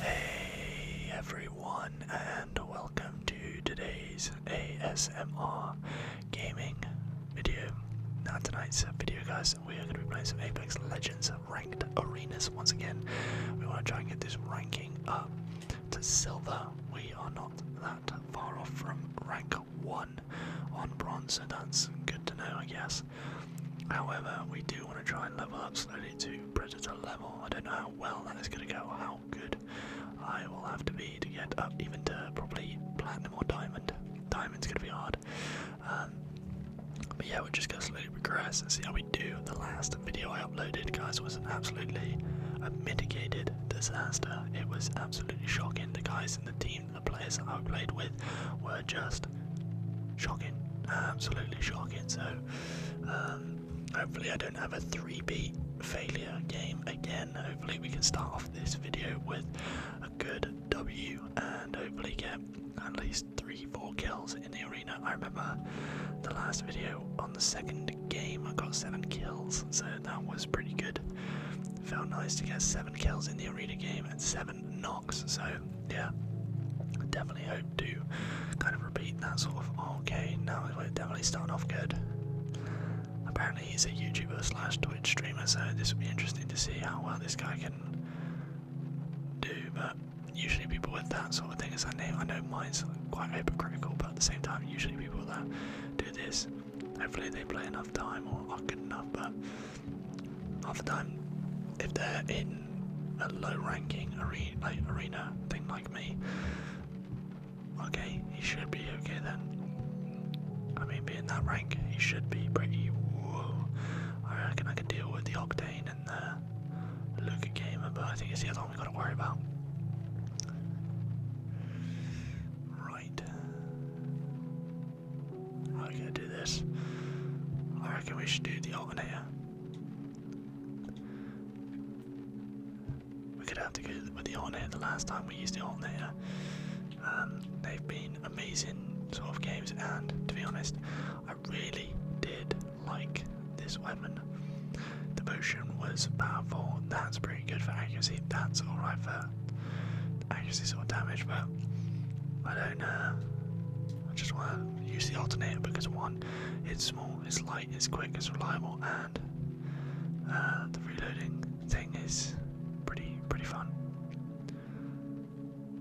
Hey everyone, and welcome to today's ASMR gaming video. Not tonight's video, guys we are going to be playing some Apex Legends ranked arenas once again. We want to try and get this ranking up to silver. We are not that far off from rank 1 on bronze, so that's good to know, I guess. However, we do want to try and level up slowly to Predator level. I don't know how well that is going to go, how good I will have to be to get up even to probably Platinum or Diamond. Diamond's going to be hard. Um, but yeah, we're just gonna slowly progress and see how we do. The last video I uploaded, guys, was an absolutely a uh, mitigated disaster. It was absolutely shocking. The guys in the team, the players I played with, were just shocking, absolutely shocking. So um, hopefully, I don't have a three-beat failure game again. Hopefully, we can start off this video with a good W and hopefully get at least three, four kills in the arena. I remember the last video on the second game, I got seven kills, so that was pretty good. Felt nice to get seven kills in the arena game and seven knocks, so yeah. I definitely hope to kind of repeat that sort of oh, okay, now we're definitely starting off good. Apparently he's a YouTuber slash Twitch streamer, so this will be interesting to see how well this guy can do, but usually people with that sort of thing as their name. I know mine's quite hypocritical, but at the same time, usually people that do this, hopefully they play enough time or are good enough, but half the time, if they're in a low-ranking arena, like arena thing like me, okay, he should be okay then. I mean, in that rank. He should be pretty. Whoa. I reckon I can deal with the Octane and the Luca Gamer, but I think it's the other one we have got to worry about. Right. How are we gonna do this? I reckon we should do the alternator. we could have to go with the Octane. the last time we used the alternator. Um, they've been amazing sort of games, and to be honest, I really did like this weapon. The motion was powerful. That's pretty good for accuracy. That's all right for accuracy sort damage, but I don't. know. Uh, I just want to use the alternate because one, it's small, it's light, it's quick, it's reliable, and uh, the reloading thing is pretty pretty fun.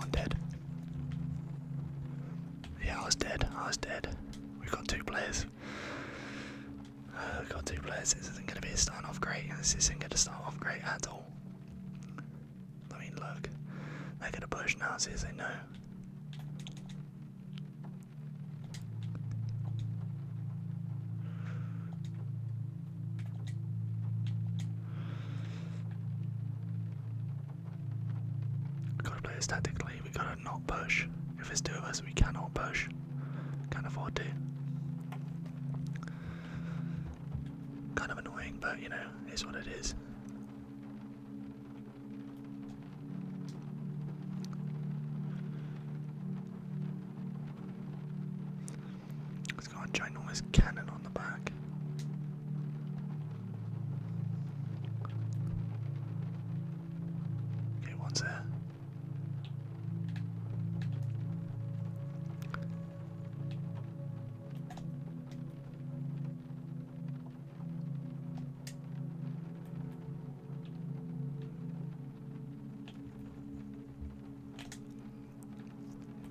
I'm dead. Yeah, I was dead. I was dead. We've got two players. Uh, we got two players. This isn't going to be starting off great. This isn't going to start off great at all. I mean, look. They're going to push now as they know. We gotta play this we gotta not push. If it's two of us, we cannot push. Can't afford to. Kind of annoying, but you know, it's what it is. It's got a ginormous cannon on the back. Okay, one's there.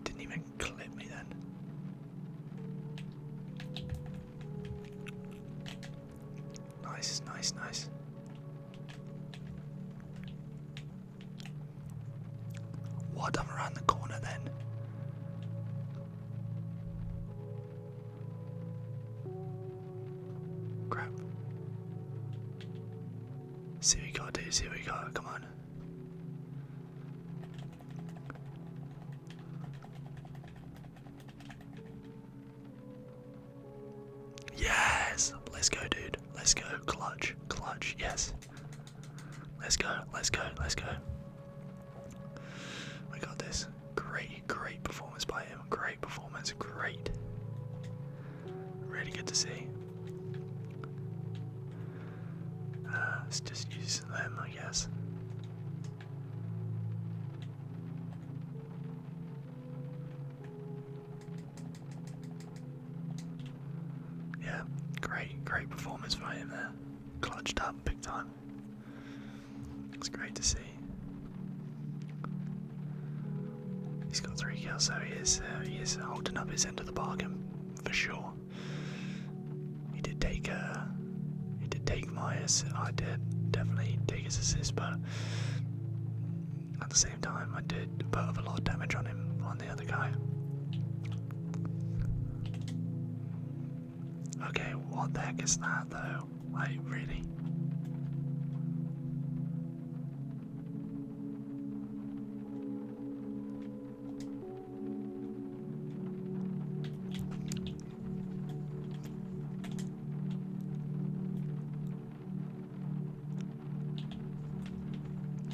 Didn't even clip me then. Nice, nice, nice. What? i around the corner then. Crap. See what we got, dude. See what we got. Come on. Yes! Let's go, dude. Let's go. Clutch. Clutch. Yes. Let's go. Let's go. Let's go. We got this. Great, great performance by him. Great. Great performance, great. Really good to see. let's uh, just use them, I guess. Yeah, great, great performance by him there. Clutched up big time. It's great to see. He's got three kills, so he is, uh, he is holding up his end of the bargain for sure. He did take uh, he did take my I did definitely take his assist, but at the same time, I did put a lot of damage on him on the other guy. Okay, what the heck is that though? Like, really?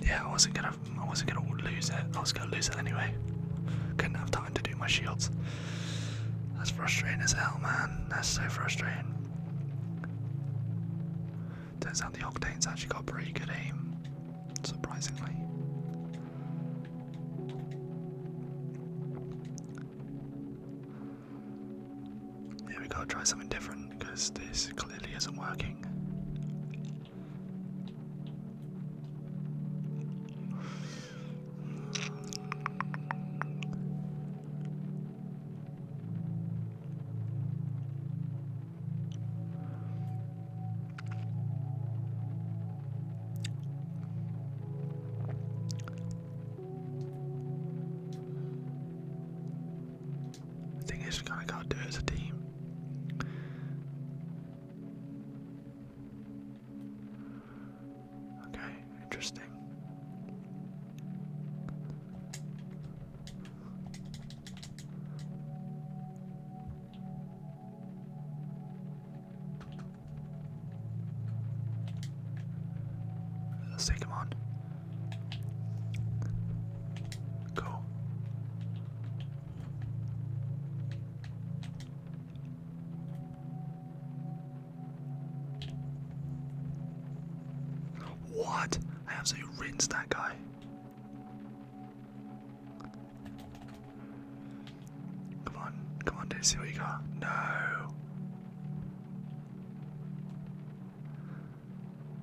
Yeah, I wasn't gonna I wasn't gonna lose it. I was gonna lose it anyway. Couldn't have time to do my shields. That's frustrating as hell man. That's so frustrating. Turns out the Octane's actually got pretty good aim, surprisingly. Yeah, we gotta try something different because this clearly isn't working. I think it's gonna go to do as a team. Okay, interesting. Let's take him on. Go. What? I absolutely rinsed that guy. Come on, come on, dude, see what you got. No.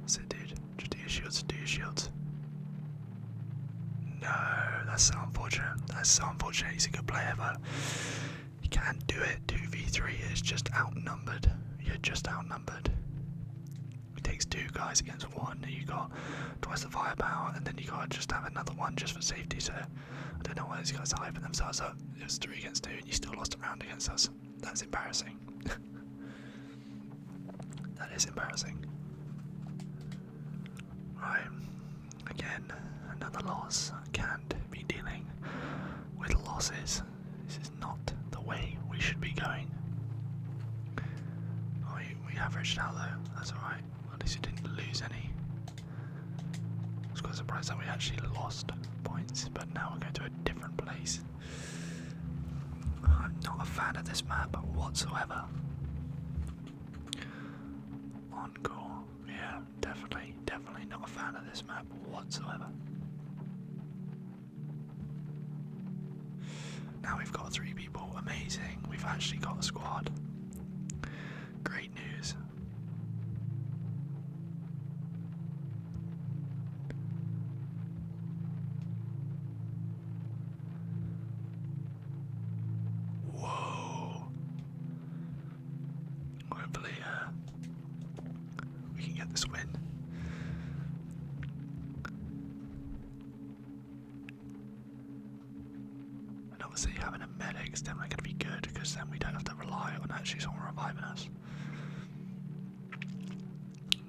That's dude. Just do your shields, do your shields. No, that's so unfortunate. That's so unfortunate. He's a good player, but you can't do it. 2v3 is just outnumbered. You're just outnumbered. It takes two guys against one. You got twice the firepower, and then you got just have another one just for safety. So I don't know why these guys are opening themselves up. It was three against two, and you still lost a round against us. That's embarrassing. that is embarrassing. Right, Again, another loss. can't be dealing with losses. This is not the way we should be going. Oh, we, we averaged out though. That's alright. At least we didn't lose any. I was quite surprised that we actually lost points, but now we're going to a different place. I'm not a fan of this map whatsoever. Encore, yeah definitely, definitely not a fan of this map whatsoever. Now we've got three people, amazing. We've actually got a squad. Great news. Whoa. Hopefully, uh, we can get this win. And obviously, having a medic's definitely going to be good because then we don't have to rely on actually someone reviving us.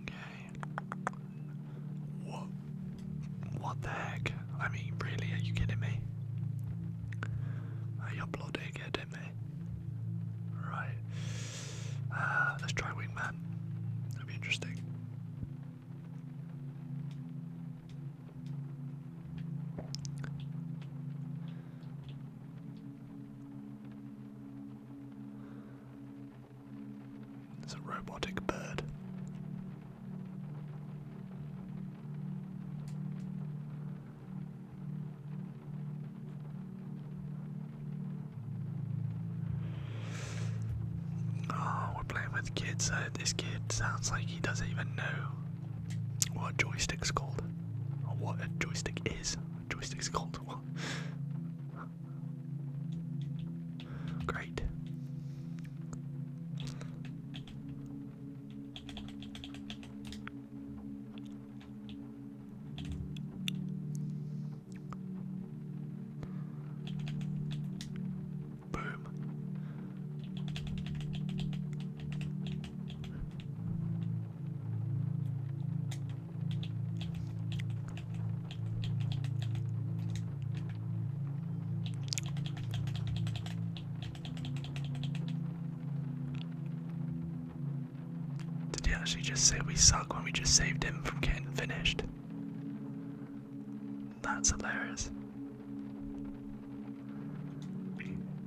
Okay. What? What the heck? I mean, really? Are you kidding me? Hey, you bloody getting me. Right. Uh, let's try Wingman. That'd be interesting. It's a robotic bird. Oh, we're playing with kids. Uh, this kid sounds like he doesn't even know what a joystick's called, or what a joystick is. A joystick's called what? Great. Boom. Did he actually just say we suck when we just saved him from getting finished? That's hilarious.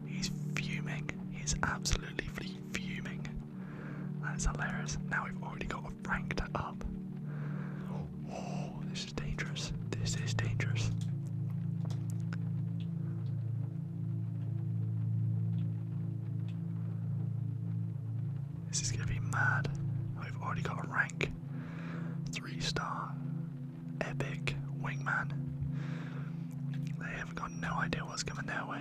He's fuming. He's absolutely fuming. That's hilarious. Now we've already got a ranked up. This is dangerous. This is dangerous. This is gonna be mad. I've already got a rank. Three star epic wingman. They have got no idea what's coming their way.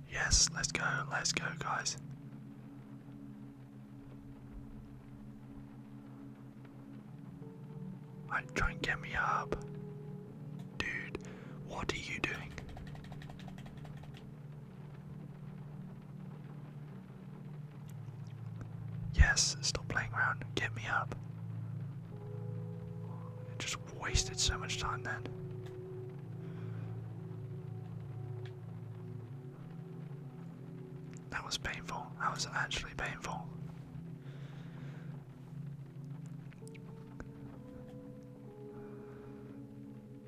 Yes, let's go, let's go, guys. I try and get me up. Dude, what are you doing? Yes, stop playing around. Get me up. I just wasted so much time then. That was painful. That was actually painful.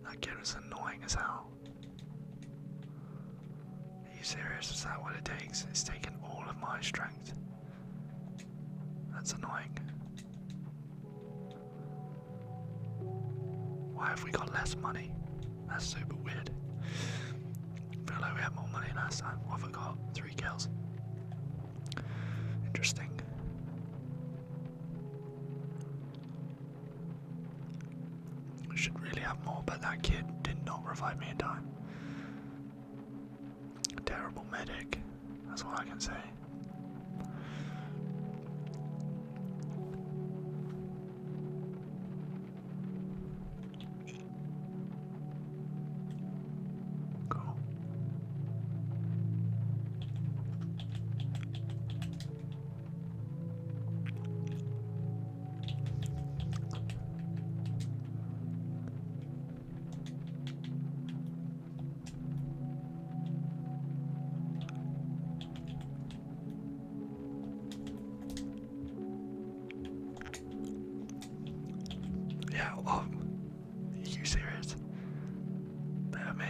That kid was annoying as hell. Are you serious? Is that what it takes? It's taken all of my strength. That's annoying. Why have we got less money? That's super weird. feel like we had more money last time. I got? Three kills. Interesting. should really have more, but that kid did not revive me in time. terrible medic. That's all I can say. Cool. Yeah, well, you serious? That me?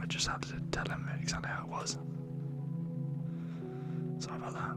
I just had to tell him exactly how it was. Sorry about that.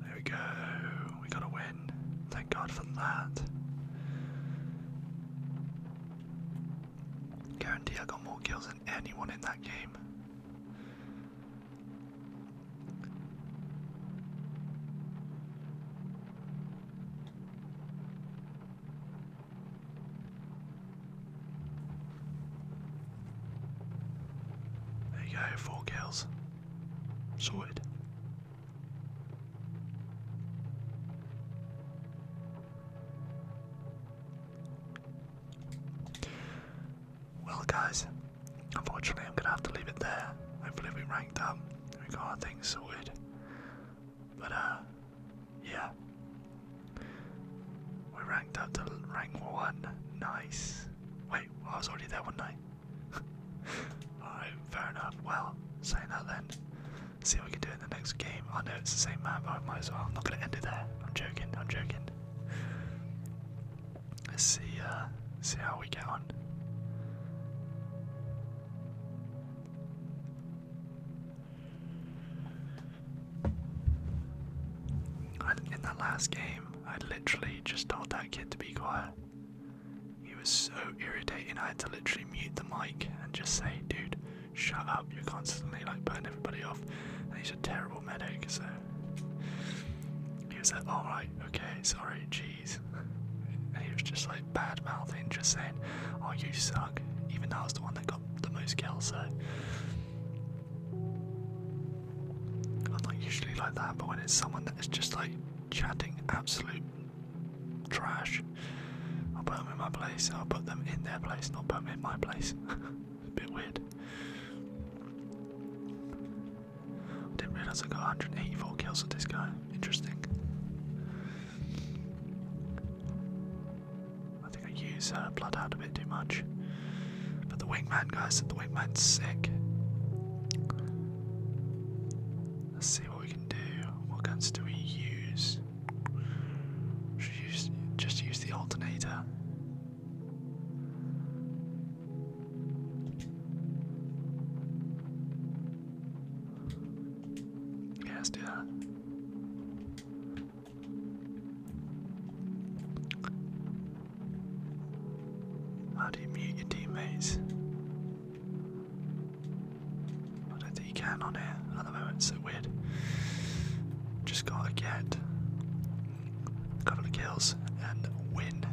There we go. We got a win. Thank God for that. Guarantee I got more kills than anyone in that game. There you go, four kills. Sorted. Well, guys, unfortunately, I'm gonna have to leave it there. Hopefully, we ranked up. We got our things sorted. But, uh, yeah. We ranked up to rank one. Nice. Wait, I was already there, one night. Alright, fair enough. Well, saying that then, see what we can do in the next game. I know it's the same map, but I might as well. I'm not going to end it there. I'm joking, I'm joking. Let's see, uh, see how we get on. in that last game, I literally just told that kid to be quiet. He was so irritating, I had to literally mute the mic and just say, dude, shut up, you're constantly like burning everybody off. he's a terrible medic, so. He was like, alright, okay, sorry, jeez. And he was just like bad mouthing, just saying, oh, you suck. Even though I was the one that got the most kills, so. I'm not usually like that, but when it's someone that is just like chatting absolute trash. I'll put them in my place. I'll put them in their place, not put them in my place. a bit weird. I didn't realise I got 184 kills with this guy. Interesting. I think I use uh, Bloodhound a bit too much. But the Wingman, guys, the Wingman's sick. Let's see what we can do. What guns do we use? Should use just use the alternator. Yeah, do that. I do you mute your teammates? I don't think you can on here at the moment, it's so weird. Just gotta get a couple of kills and win.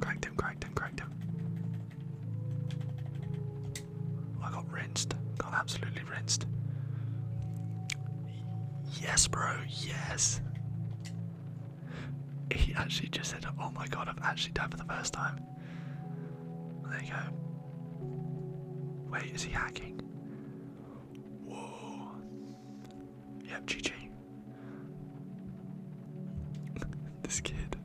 Cracked him, cracked him, cracked him. I got rinsed. Got absolutely rinsed. Yes, bro, yes. He actually just said, "Oh my god, I've actually died for the first time." There you go. Wait, is he hacking? Whoa. Yep, GG. this kid.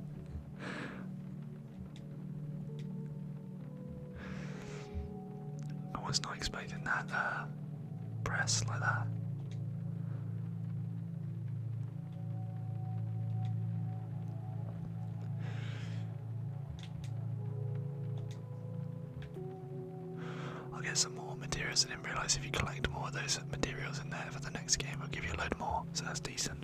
I was not expecting that. Uh, press like that. I'll get some more materials. I didn't realise if you collect more of those materials in there for the next game, it'll give you a load more, so that's decent.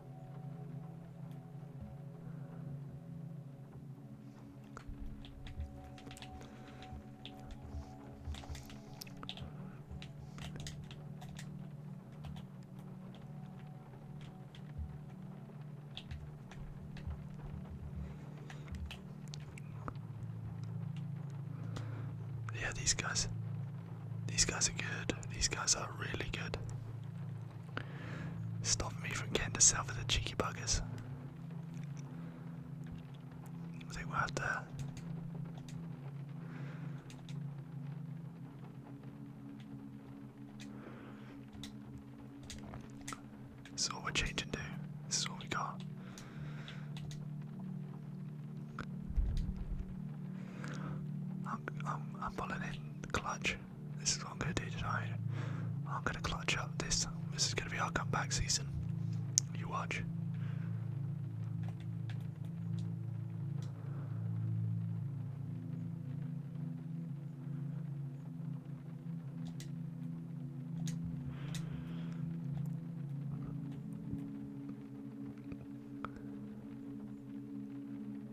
Yeah, these guys. These guys are good. These guys are really good. Stop me from getting to silver the cheeky buggers. I think we'll This is all we're changing to. This is all we got. I'm, I'm, I'm pulling in clutch. This is what I'm gonna do tonight. I'm gonna clutch up this. This is gonna be our comeback season. You watch.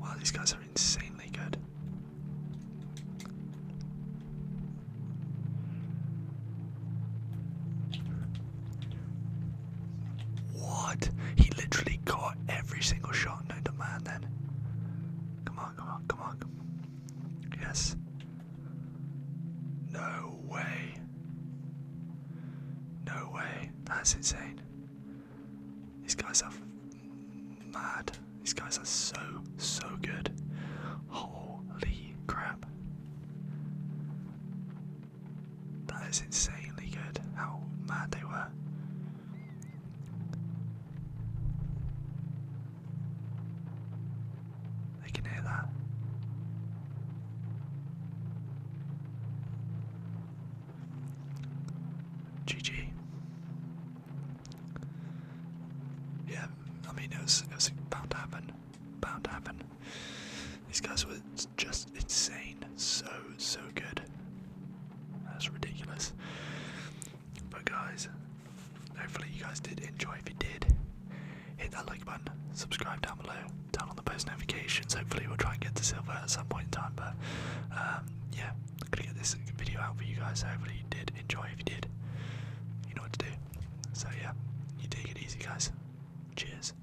Wow, these guys are insanely good. What? He literally caught every single shot known to man then. Come on, come on, come on. Yes. No way. No way. That's insane. These guys are mad. These guys are so, so good. Holy crap. That is insanely good, how mad they were. They can hear that. GG. Yeah, I mean it was it was bound to These guys were just insane. So, so good. That's ridiculous. But, guys, hopefully, you guys did enjoy. If you did, hit that like button, subscribe down below, turn on the post notifications. Hopefully, we'll try and get to silver at some point in time. But, um, yeah, I'm gonna get this video out for you guys. Hopefully, you did enjoy. If you did, you know what to do. So, yeah, you take it easy, guys. Cheers.